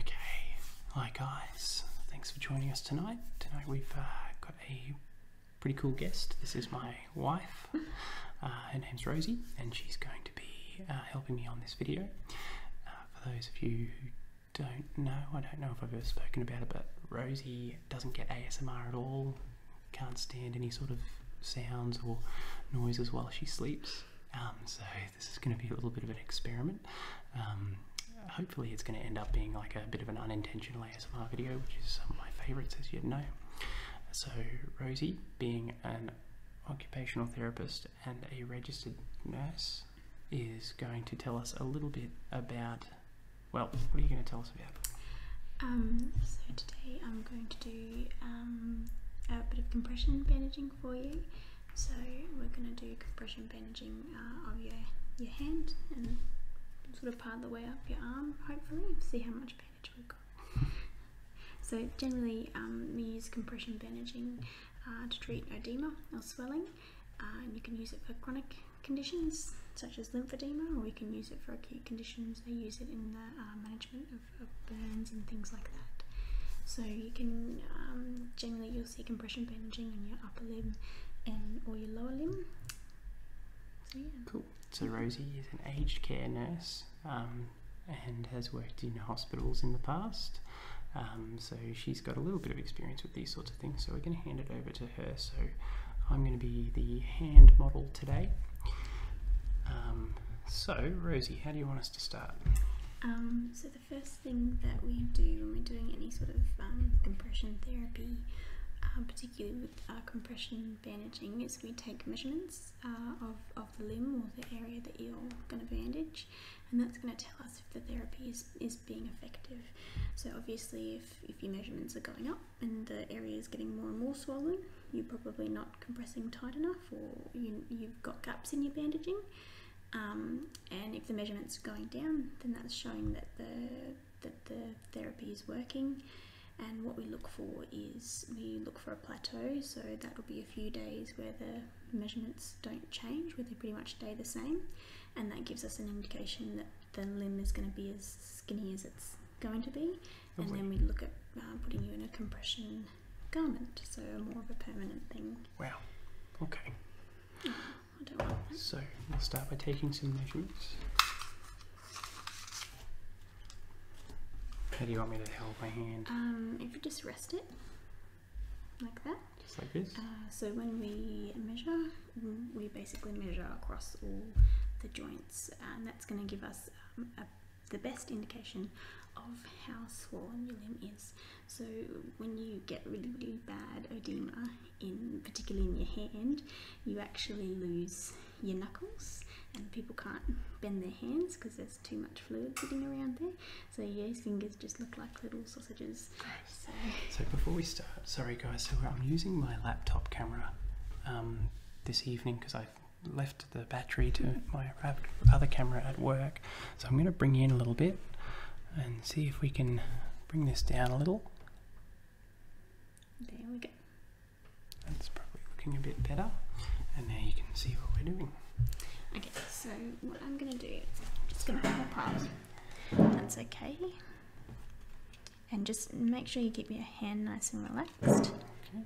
Okay, hi guys, thanks for joining us tonight. Tonight we've uh, got a pretty cool guest. This is my wife. Uh, her name's Rosie, and she's going to be uh, helping me on this video. for those of you who don't know, I don't know if I've ever spoken about it, but Rosie doesn't get ASMR at all, can't stand any sort of sounds or noises while she sleeps. Um, so this is going to be a little bit of an experiment. Um, hopefully it's going to end up being like a bit of an unintentional ASMR video, which is some of my favourites as you know. So Rosie, being an occupational therapist and a registered nurse, is going to tell us a little bit about well, what are you going to tell us about? Um, so today I'm going to do um, a bit of compression bandaging for you. So we're going to do compression bandaging uh, of your, your hand and sort of part of the way up your arm, hopefully, see how much bandage we've got. so generally um, we use compression bandaging uh, to treat oedema or swelling and um, you can use it for chronic conditions such as lymphedema, or you can use it for acute conditions. They use it in the uh, management of, burns and things like that. So you can um, generally you'll see compression bandaging on your upper limb and or your lower limb. Cool. So Rosie is an aged care nurse um, and has worked in hospitals in the past. so she's got a little bit of experience with these sorts of thing. So we're going to hand it over to her. So I'm going to be the hand model today. Um, so Rosie, how do you want us to start? Um, so the first thing that we do when we're doing any sort of um, compression therapy, uh, particularly with uh, compression bandaging, is we take measurements uh, of, of the limb or the area that you're going to bandage, and that's going to tell us if the therapy is, is being effective. So obviously if, if your measurements are going up, and the area is getting more and more swollen, you're probably not compressing tight enough or you, have got gaps in your bandaging. Um, and if the measurement's going down, then that's showing that the, that the therapy is working. And what we look for is we look for a plateau, so that will be a few days where the measurements don't change, where they pretty much stay the same. And that gives us an indication that the limb is going to be as skinny as it's going to be. And then we look at uh, putting you in a compression garment, so more of a permanent thing. Wow. Okay. I don't want that. So we'll start by taking some measurements. How do you want me to hold my hand? Um, if you just rest it like that. Just like this? Uh, so when we measure, Mm-hmm. we basically measure across all the joints and that's going to give us um, the best indication of how swollen your limb is. So when you get really, really bad oedema, in particularly in your hand, you actually lose your knuckles and people can't bend their hands because there's too much fluid sitting around there. So your fingers just look like little sausages so, before we start, sorry guys, so I'm using my laptop camera um, this evening because I've left the battery to my other camera at work. So I'm going to bring you in a little bit and see if we can bring this down a little. There we go. That's probably looking a bit better. And now you can see what we're doing. Okay, so what I'm going to do, I'm just going to have a pause. That's okay and just make sure you keep your hand nice and relaxed. Okay.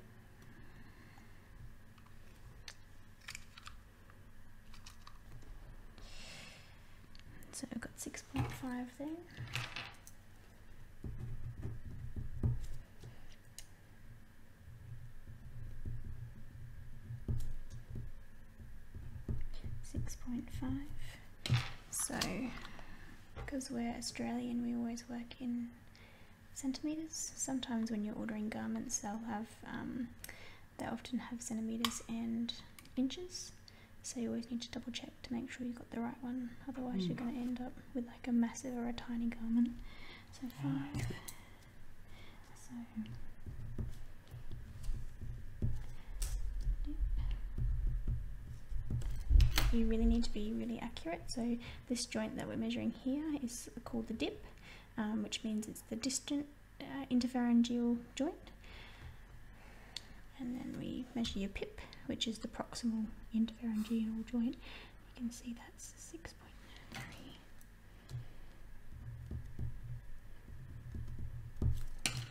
So I've got 6.5 there. Six point five. So, because we're Australian, we always work in centimetres. Sometimes when you're ordering garments, they'll have, um, they often have centimetres and inches. So you always need to double check to make sure you got the right one. Otherwise you're hmm. going to end up with like a massive or a tiny garment. So five. You really need to be really accurate. So this joint that we're measuring here is called the dip, um, which means it's the distant uh, interpharyngeal joint. And then we measure your pip, which is the proximal interpharyngeal joint. You can see that's six point three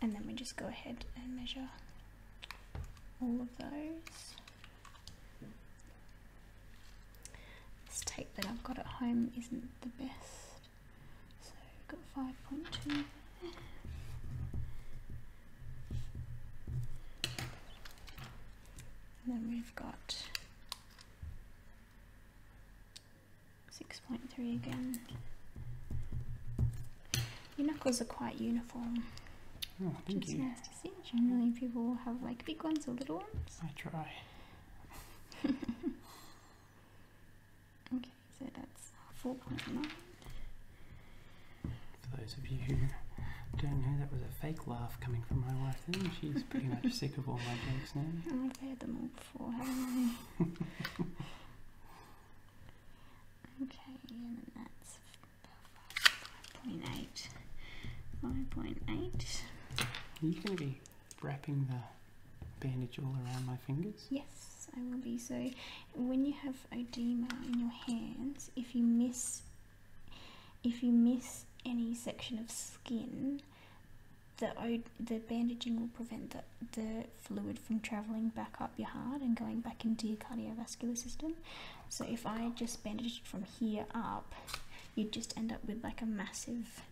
and then we just go ahead and measure all of those. This tape that I've got at home isn't the best, so we've got 5.2 And then we've got 6.3 again. Your knuckles are quite uniform. Oh, thank you. It's nice to see. Generally, people have like big ones or little ones. I try. okay, so that's 4.9. For those of you who don't know, that was a fake laugh coming from my wife then. She's pretty much sick of all my jokes now. I've heard them all before, Okay, and that's 5.8. 5.8. Are you going to be wrapping the bandage all around my fingers? Yes, I will be. So when you have oedema in your hands, if you miss if you miss any section of skin, the the bandaging will prevent the, the fluid from travelling back up your heart and going back into your cardiovascular system. So if I just it from here up, you'd just end up with like a massive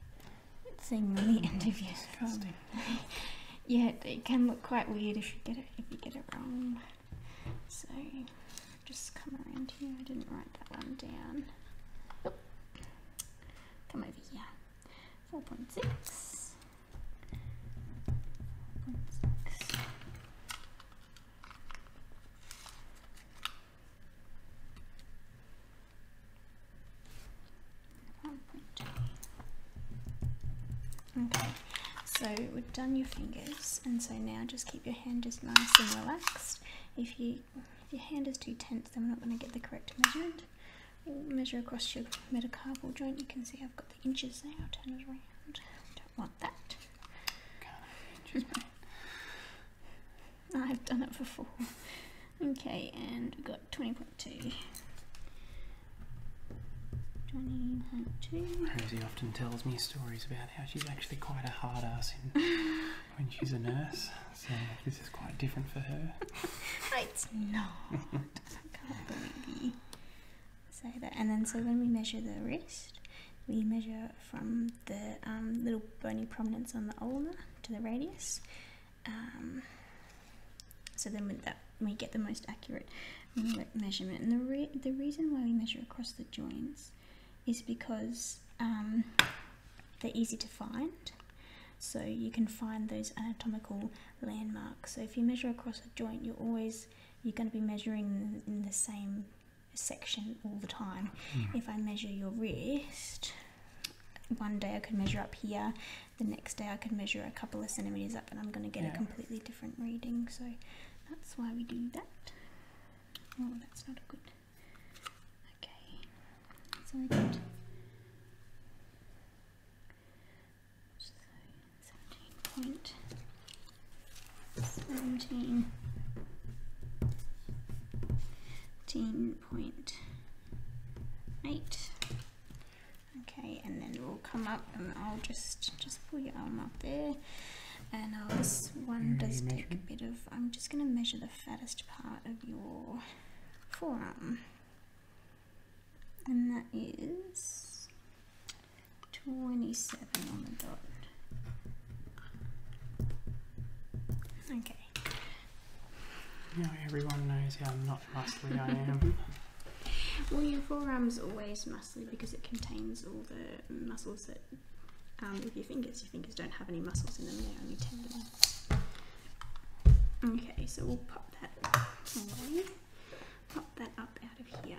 thing on the end of your throat. Mm, yeah, it can look quite weird if you get it if you get it wrong. So just come around here. I didn't write that one down. Come over here. 4.6 Okay, so we've done your fingers, and so now just keep your hand just nice and relaxed. If you your hand is too tense, then we're not going to get the correct measurement. measure across your metacarpal joint. You can see I've got the inches now. turn it around. Don't want that. God, I've done it before. Okay, and we got 20.2. 20.2. Rosie often tells me stories about how she's actually quite a hard ass when she's a nurse, so this is quite different for her. it's not. I can't Say that and then so when we measure the wrist we measure from the um, little bony prominence on the ulna to the radius um, so then with that we get the most accurate measurement and the, the reason why we measure across the joints is because um, they're easy to find so you can find those anatomical landmarks so if you measure across a joint you're always you're going to be measuring in the same section all the time. Hmm. If I measure your wrist, one day I could measure up here, the next day I could measure a couple of centimetres up, and I'm going to get a completely different reading. So that's why we do that. Oh, that's not good. Okay, so we got so Okay, and then we'll come up and I'll just just pull your arm up there. And uh, this one does take a bit of. I'm just going to measure the fattest part of your forearm and that is 27 on the dot. Okay. Now everyone knows how not muscly I am. well, your forearm's always muscly because it contains all the muscles that, um, with your fingers, your fingers don't have any muscles in them, they're only tendons. Okay, so we'll pop that away pop that up out of here.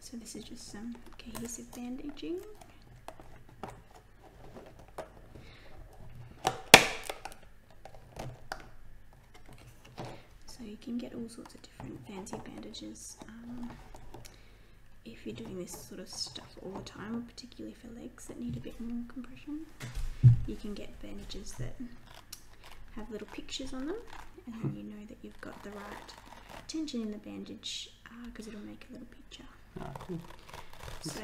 So this is just some cohesive bandaging. So you can get all sorts of different fancy bandages um, if you're doing this sort of stuff all the time, particularly for legs that need a bit more compression. You can get bandages that have little pictures on them, and you know that you've got the right tension in the bandage because uh, it'll make a little picture. Ah, so,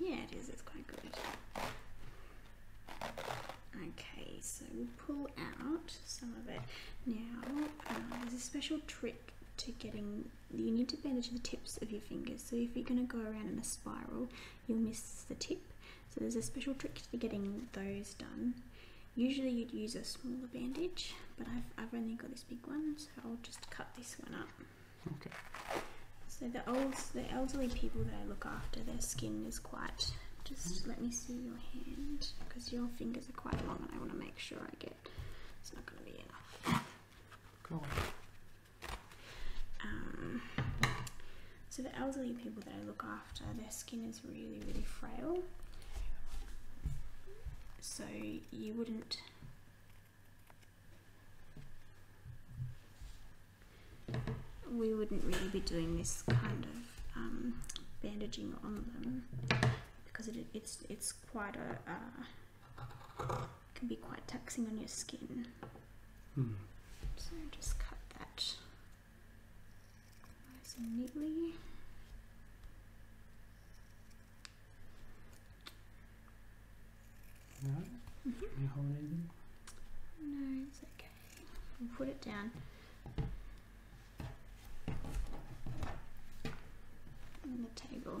yeah, it is, it's quite good. Okay, so we'll pull out some of it. Now, uh, there's a special trick to getting you need to bandage the tips of your fingers. So if you're going to go around in a spiral, you'll miss the tip. So there's a special trick to getting those done. Usually you'd use a smaller bandage, but I've, I've only got this big one, so I'll just cut this one up. Okay. So the old, the elderly people that I look after, their skin is quite. Just mm-hmm. let me see your hand, because your fingers are quite long, and I want to make sure I get. It's not going to be enough. Cool. Um, so the elderly people that I look after, their skin is really, really frail. So you wouldn't we wouldn't really be doing this kind of um, bandaging on them because it's it's quite a uh, can be quite taxing on your skin. Hmm. So just cut that nice neatly. Mm-hmm. No? it's okay. put it down. On the table.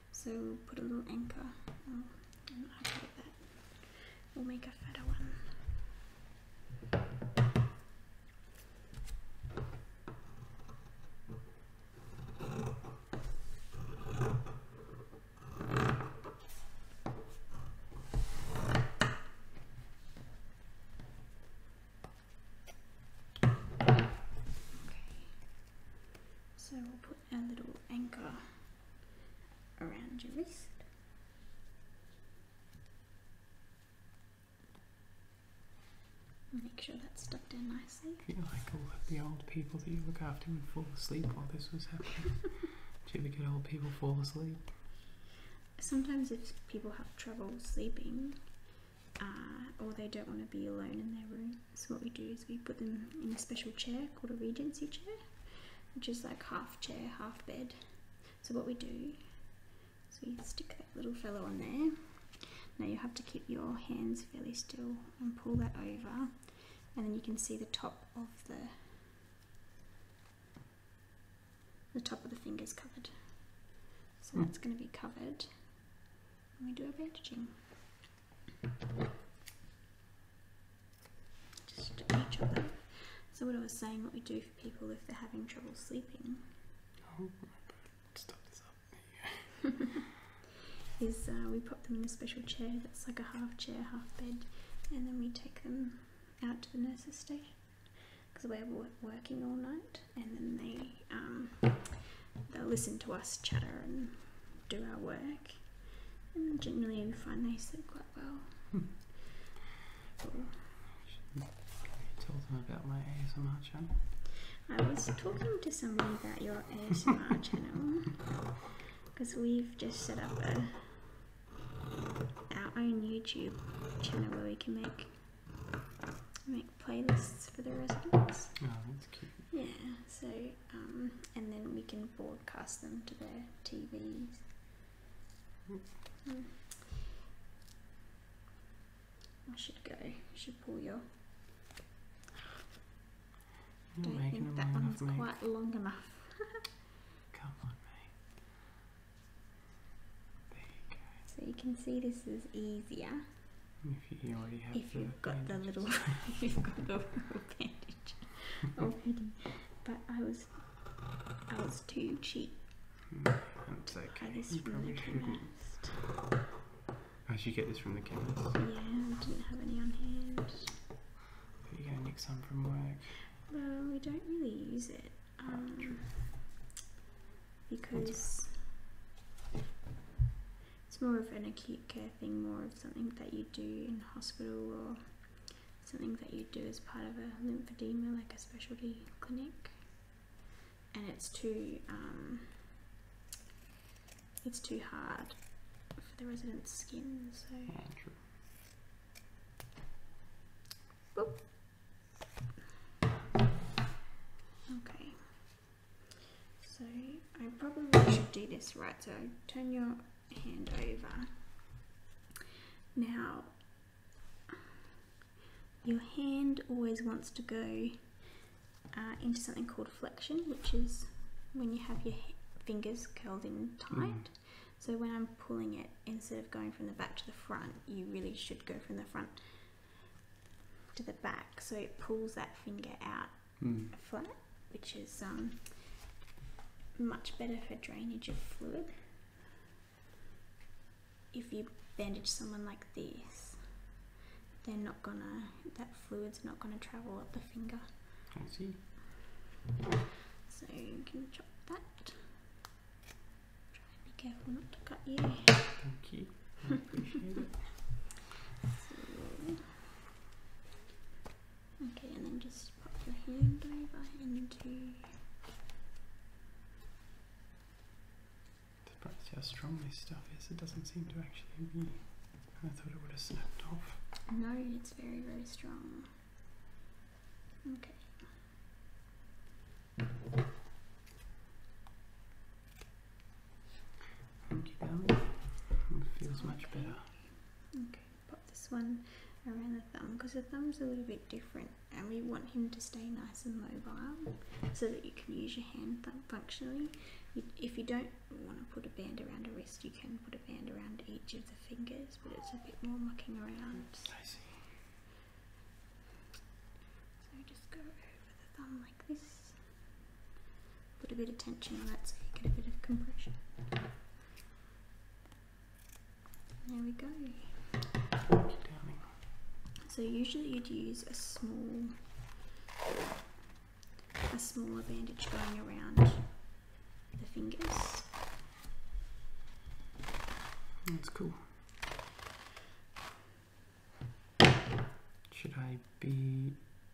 So put a little anchor. Um, we'll make a fatter one. Okay. So we'll put our little anchor around your wrist. Make sure that's stuck in nicely. feel like all of the old people that you look after would fall asleep while this was happening. Do you ever get old people fall asleep? Sometimes if people have trouble sleeping, uh, or they don't want to be alone in their room, so what we do is we put them in a special chair called a regency chair, which is like half chair, half bed. So what we do so we stick that little fellow on there. Now you have to keep your hands fairly still and pull that over and then you can see the top of the the top of the fingers covered. So mm. that's going to be covered. And we do our bandaging. So what I was saying, what we do for people if they're having trouble sleeping. Oh, is uh, we pop them in a special chair that's like a half chair, half bed, and then we take them out to the nurses' station because we're working all night, and then they um, they'll listen to us chatter and do our work. And generally we find they sleep quite well. Hmm. I was talking to someone about your ASMR channel because we've just set up our own YouTube channel where we can make make playlists for the residents. Oh, that's cute. Yeah, so um, and then we can broadcast them to their TVs. Hmm. I should go. You should pull your. I don't think that one's quite long enough. Come on, mate. There you go. So you can see this is easier. If you already have if you've got the little, you've got the little bandage already. But I was, I was too cheap. I hmm, this you probably shouldn't. I should get this from the chemist. Yeah, didn't have any on hand. But you're gonna nick some from work. Well, we don't really use it. Um, because it's more of an acute care thing, more of something that you do in hospital or something that you do as part of a lymphedema, like a specialty clinic. And it's too, um, it's too hard for the resident's skin, so. Ah, okay. So I probably should do this right. So turn your hand over. Now, your hand always wants to go uh, into something called flexion, which is when you have your fingers curled in tight. Mm-hmm. So when I'm pulling it, instead of going from the back to the front, you really should go from the front to the back. So it pulls that finger out Mm. flat, which is um, much better for drainage of fluid. If you bandage someone like this, they're not gonna, that fluid's not gonna travel up the finger. I see. So you can chop that. Try and be careful not to cut you. Thank you. Okay, and then just pop your hand over into. To see how strong this stuff is. It doesn't seem to actually be. I thought it would have snapped off. No, it's very, very strong. Okay. Thank you, Bill. It feels much better. Okay, pop this one around the thumb because the thumb's a little bit different and we want him to stay nice and mobile so that you can use your hand functionally. If you don't want to put a band around a wrist, you can put a band around each of the fingers, but it's a bit more mucking around. I see. So just go over the thumb like A bit of tension on that so you get a bit of compression. There we go. So usually you'd use a small, a smaller bandage going around the fingers. That's cool. Should I be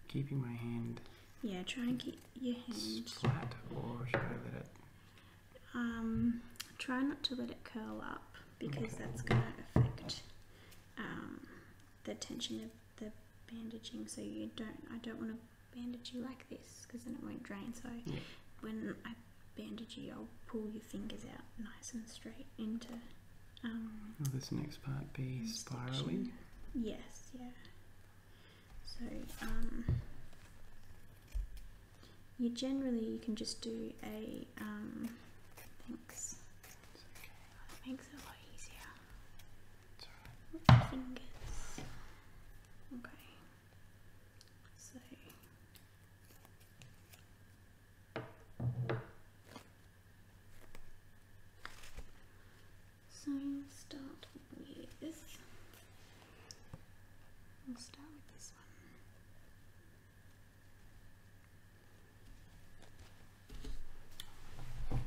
keeping my hand yeah, try and keep your hands flat, or should I let it? Um, try not to let it curl up because that's going to affect um, the tension of the bandaging. So you don't, I don't want to bandage you like this because then it won't drain. So when I bandage you, I'll pull your fingers out nice and straight into. Um, Will this next part be spiraling? Yes, yeah. So um, you generally you can just do a um, thanks. makes it a lot easier. Fingers. Okay. So so we'll start with we'll start with this one.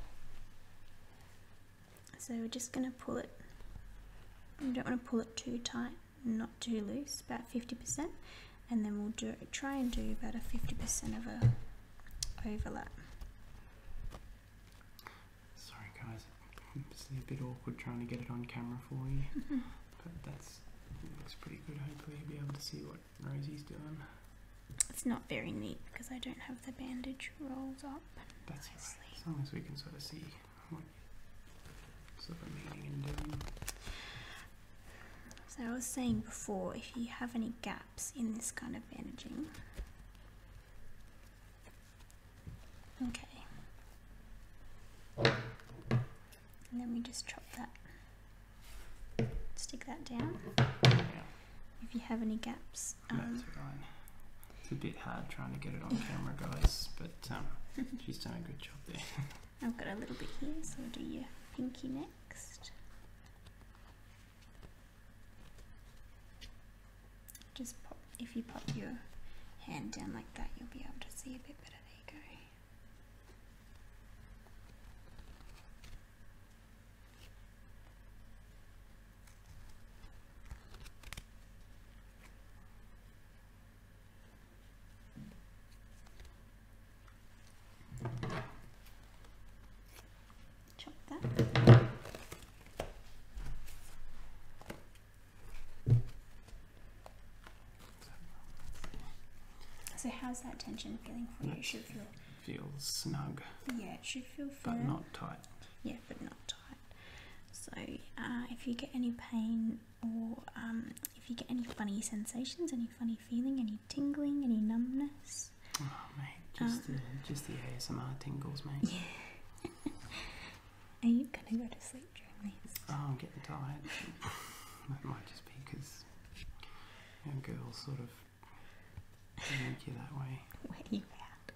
So we're just going to pull it, We don't want to pull it too tight, not too loose, about 50%, and then we'll do try and do about a 50% of a overlap. Sorry, guys, it's a bit awkward trying to get it on camera for you, but that's it looks pretty good. Hopefully, you'll be able to see what Rosie's doing. It's not very neat because I don't have the bandage rolled up. That's Right. As long as we can sort of see what sort of meaning and doing. So I was saying before, if you have any gaps in this kind of bandaging. Okay. then we just chop that, stick that down. If you have any gaps. Um, it's a bit hard trying to get it on camera, guys, but um, she's done a good job there. I've got a little bit here, so we'll do your pinky next. Just pop, if you pop your hand down like that, you'll be able to see a bit better. There you go. So how's that tension feeling for you? should feel feel snug. Yeah, it should feel But not tight. Yeah, but not tight. So uh, if you get any pain or um, if you get any funny sensations, any funny feeling, any tingling, any numbness, Oh mate, just oh. the ASMR tingles, mate. Yeah. Are you gonna go to sleep during this? Oh, I'm getting tired. that might just be because you know, girls sort of make you that way. Where you out?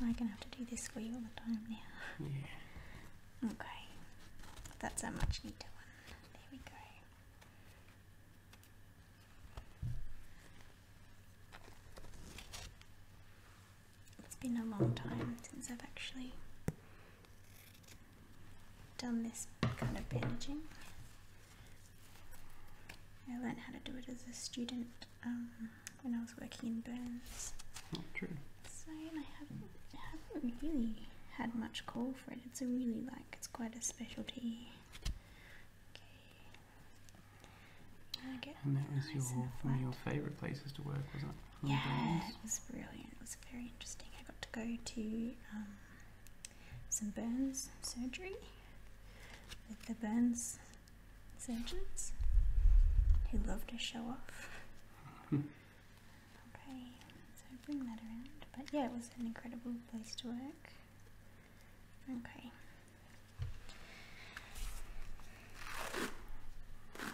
Am I gonna have to do this for you all the time now? Yeah. Okay. That's a much neater one. There we go. It's been a long time since I've actually done this kind of bandaging. I learned how to do it as a student um, when I was working in Burns. Not true. So I haven't, I haven't really had much call for it. It's a really like, it's quite a specialty. Okay. And that was your one of your favourite places to work, wasn't it? yeah, it was brilliant. It was very interesting. I got to go to um, some burns surgery with the burns surgeons who loved to show off. Hmm. okay, so bring that around. But yeah, it was an incredible place to work. Okay.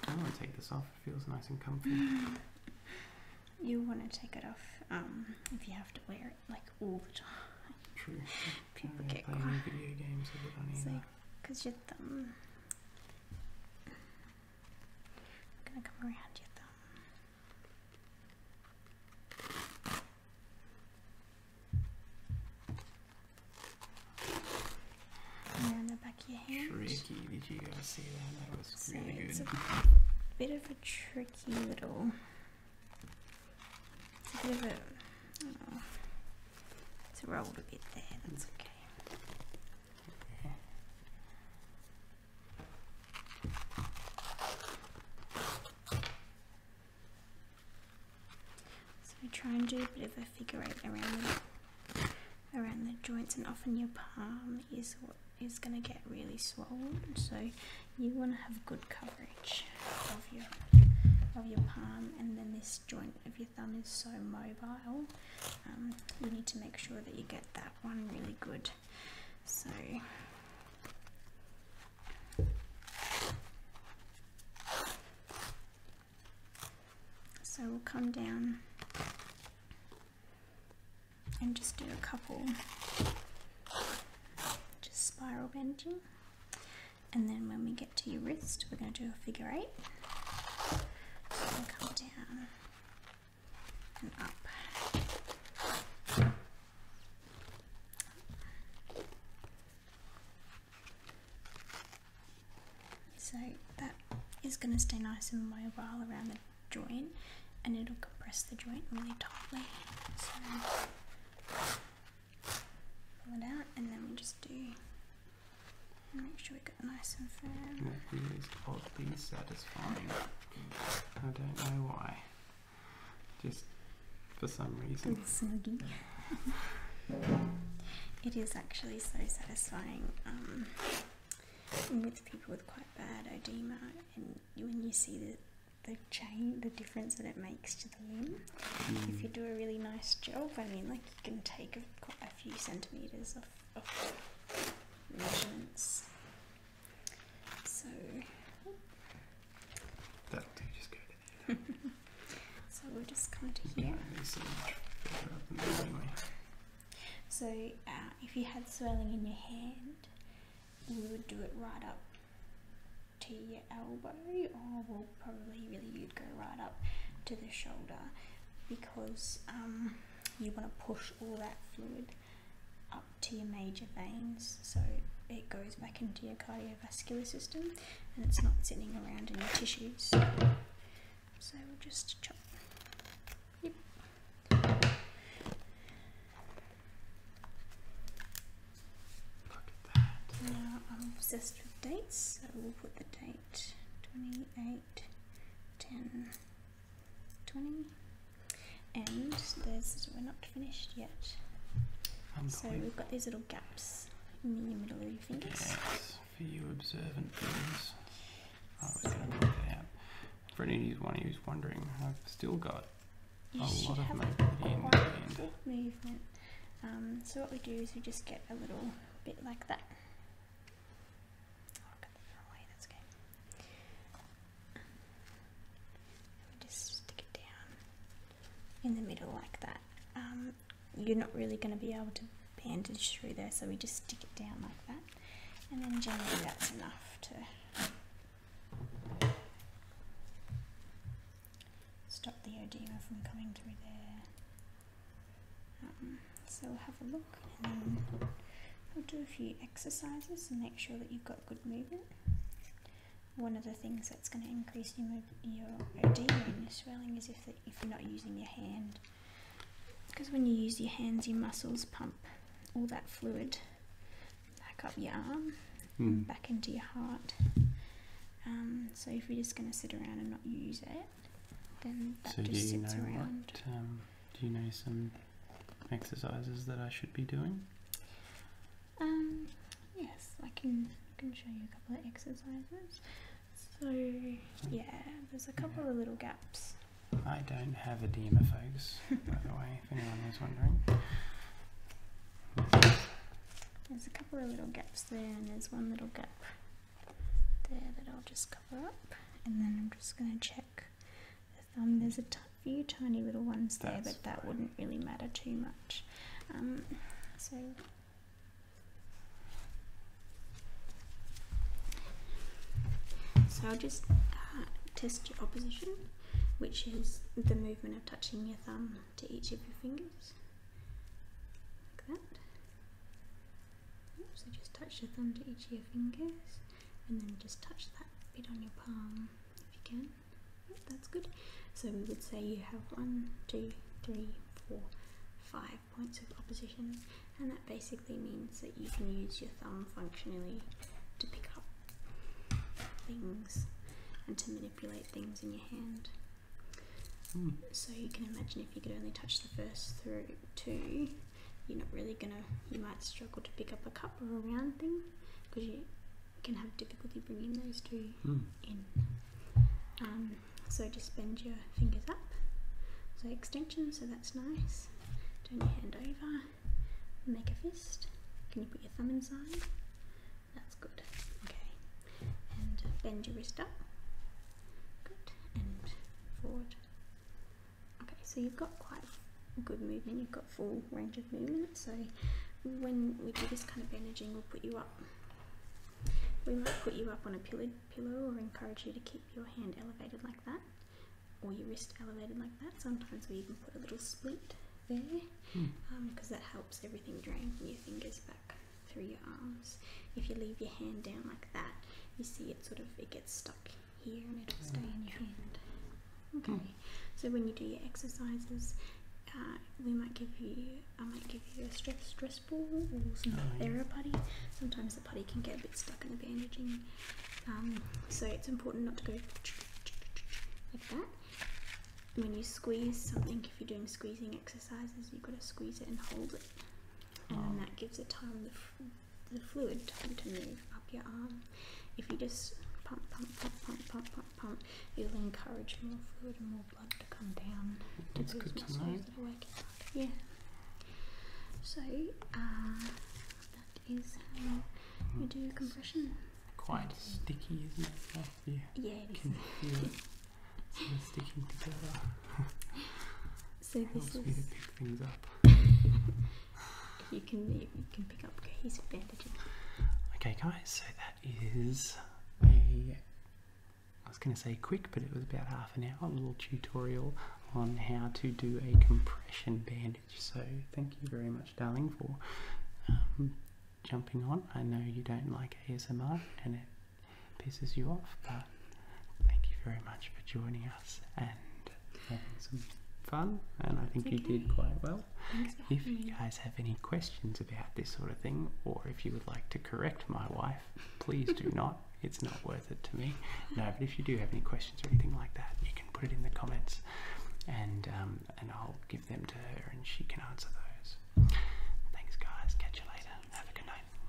I want to take this off. It feels nice and comfy. you want to take it off um, if you have to wear it like all the time. True. playing video games with it Because your thumb. I'm gonna come around your thumb. Tricky. Did you guys see that? That was really good. It's a bit of a tricky little. It's a bit of a. Oh, it's rolled a bit there. That's okay. So try and do a bit of a figure eight around the, around the joints and often your palm is what is going to get really swollen so you want to have good coverage of your of your palm and then this joint of your thumb is so mobile um, you need to make sure that you get that one really good so so we'll come down and just do a couple just spiral bending and then when we get to your wrist we're going to do a figure eight come down and up so that is going to stay nice and mobile around the joint and it'll compress the joint really tightly. pull it out and then we just do make sure we get nice and firm. That feels oddly satisfying. I don't know why. Just for some reason. it is actually so satisfying. Um, with people with quite bad oedema, and when you see the the change, the difference that it makes to the limb. Mm. If you do a really nice job, I mean, like you can take a, quite a few centimeters of, of measurements. So so we are just going to here. So uh, if you had swelling in your hand, you would do it right up to your elbow, or we'll probably really you'd go right up to the shoulder because um, you want to push all that fluid up to your major veins so it goes back into your cardiovascular system and it's not sitting around in your tissues. So we'll just chop. Yep. Now I'm obsessed with dates, so we'll put the date 28, 10, 20. And there's, we're not finished yet. so we've got these little gaps Yes, for you observant fingers. I was going to work that out. For anyone who's wondering, I've still got you a lot of movement um, so what we do is we just get a little bit like that. Oh, that just stick it down in the middle like that, um, you're not really going to be able to bandage through there, so we just stick it down like that, and then generally that's enough to stop the edema from coming through there. Um, so we'll have a look and then we'll do a few exercises and make sure that you've got good movement one of the things that's going to increase your, your OD and your swelling is if, if you're not using your hand. Because when you use your hands, your muscles pump all that fluid back up your arm, mm. back into your heart. Um, so if you're just going to sit around and not use it, then that just sits around. Um, do you know some exercises that I should be doing? Um, yes, I can, I can show you a couple of exercises. So, yeah, there's a couple of little gaps. I don't have a folks, by the way, if anyone is wondering. There's a couple of little gaps there, and there's one little gap there that I'll just cover up. And then I'm just going to check the thumb. There's a few tiny little ones there, but that wouldn't really matter too much. Um, so so I'll just uh, test your opposition, which is the movement of touching your thumb to each of your fingers. Like that. So just touch your thumb to each of your fingers and then just touch that bit on your palm if you can that's good so we would say you have one two three four five points of opposition and that basically means that you can use your thumb functionally to pick up things and to manipulate things in your hand hmm. so you can imagine if you could only touch the first through two you're not really gonna you might struggle to pick up a cup or a round thing because you can have difficulty bringing those two hmm. in. Um, so just bend your fingers up. So extension, so that's nice. Turn your hand over, make a fist. Can you put your thumb inside? That's good. Okay. And bend your wrist up. Good. And forward. Okay, so you've got quite good movement. You've got full range of movement. So when we do this kind of bandaging, we'll put you up we might put you up on a pillow or encourage you to keep your hand elevated like that or your wrist elevated like that. Sometimes we even put a little split there because hmm. um, that helps everything drain from your fingers back through your arms. If you leave your hand down like that, you see it sort of, it gets stuck here and it'll stay in your hand. Hmm. Okay, so when you do your exercises, uh, we might give you I might give you a stress stress ball or some no. Oh, putty. Sometimes the putty can get a bit stuck in the bandaging, um, so it's important not to go like that. When you squeeze something, if you're doing squeezing exercises, you've got to squeeze it and hold it, and oh. that gives it time the, the fluid time to move up your arm. If you just pump, pump, pump, pump, pump, pump, pump, you'll encourage more fluid and more blood to come down to That's those muscles tonight. that Yeah. So uh, that is how you do compression. Quite sticky, isn't it? Yeah. you yeah, it can feel it sort of sticking together. so this Helps is me to pick things up. you can you can pick up cohesive bandages. Okay, guys. So that is a I was going to say quick, but it was about half an hour, little tutorial on how to do a compression bandage. So thank you very much, darling, for um, jumping on. I know you don't like ASMR and it pisses you off, but thank you very much for joining us and having some fun. And I think you did quite well. If you guys have any questions about this sort of thing, or if you would like to correct my wife, please do not. It's not worth it to me. No, but if you do have any questions or anything like that, you can put it in the comments, and um, and I'll give them to her, and she can answer those. Thanks, guys. Catch you later. Have a good night.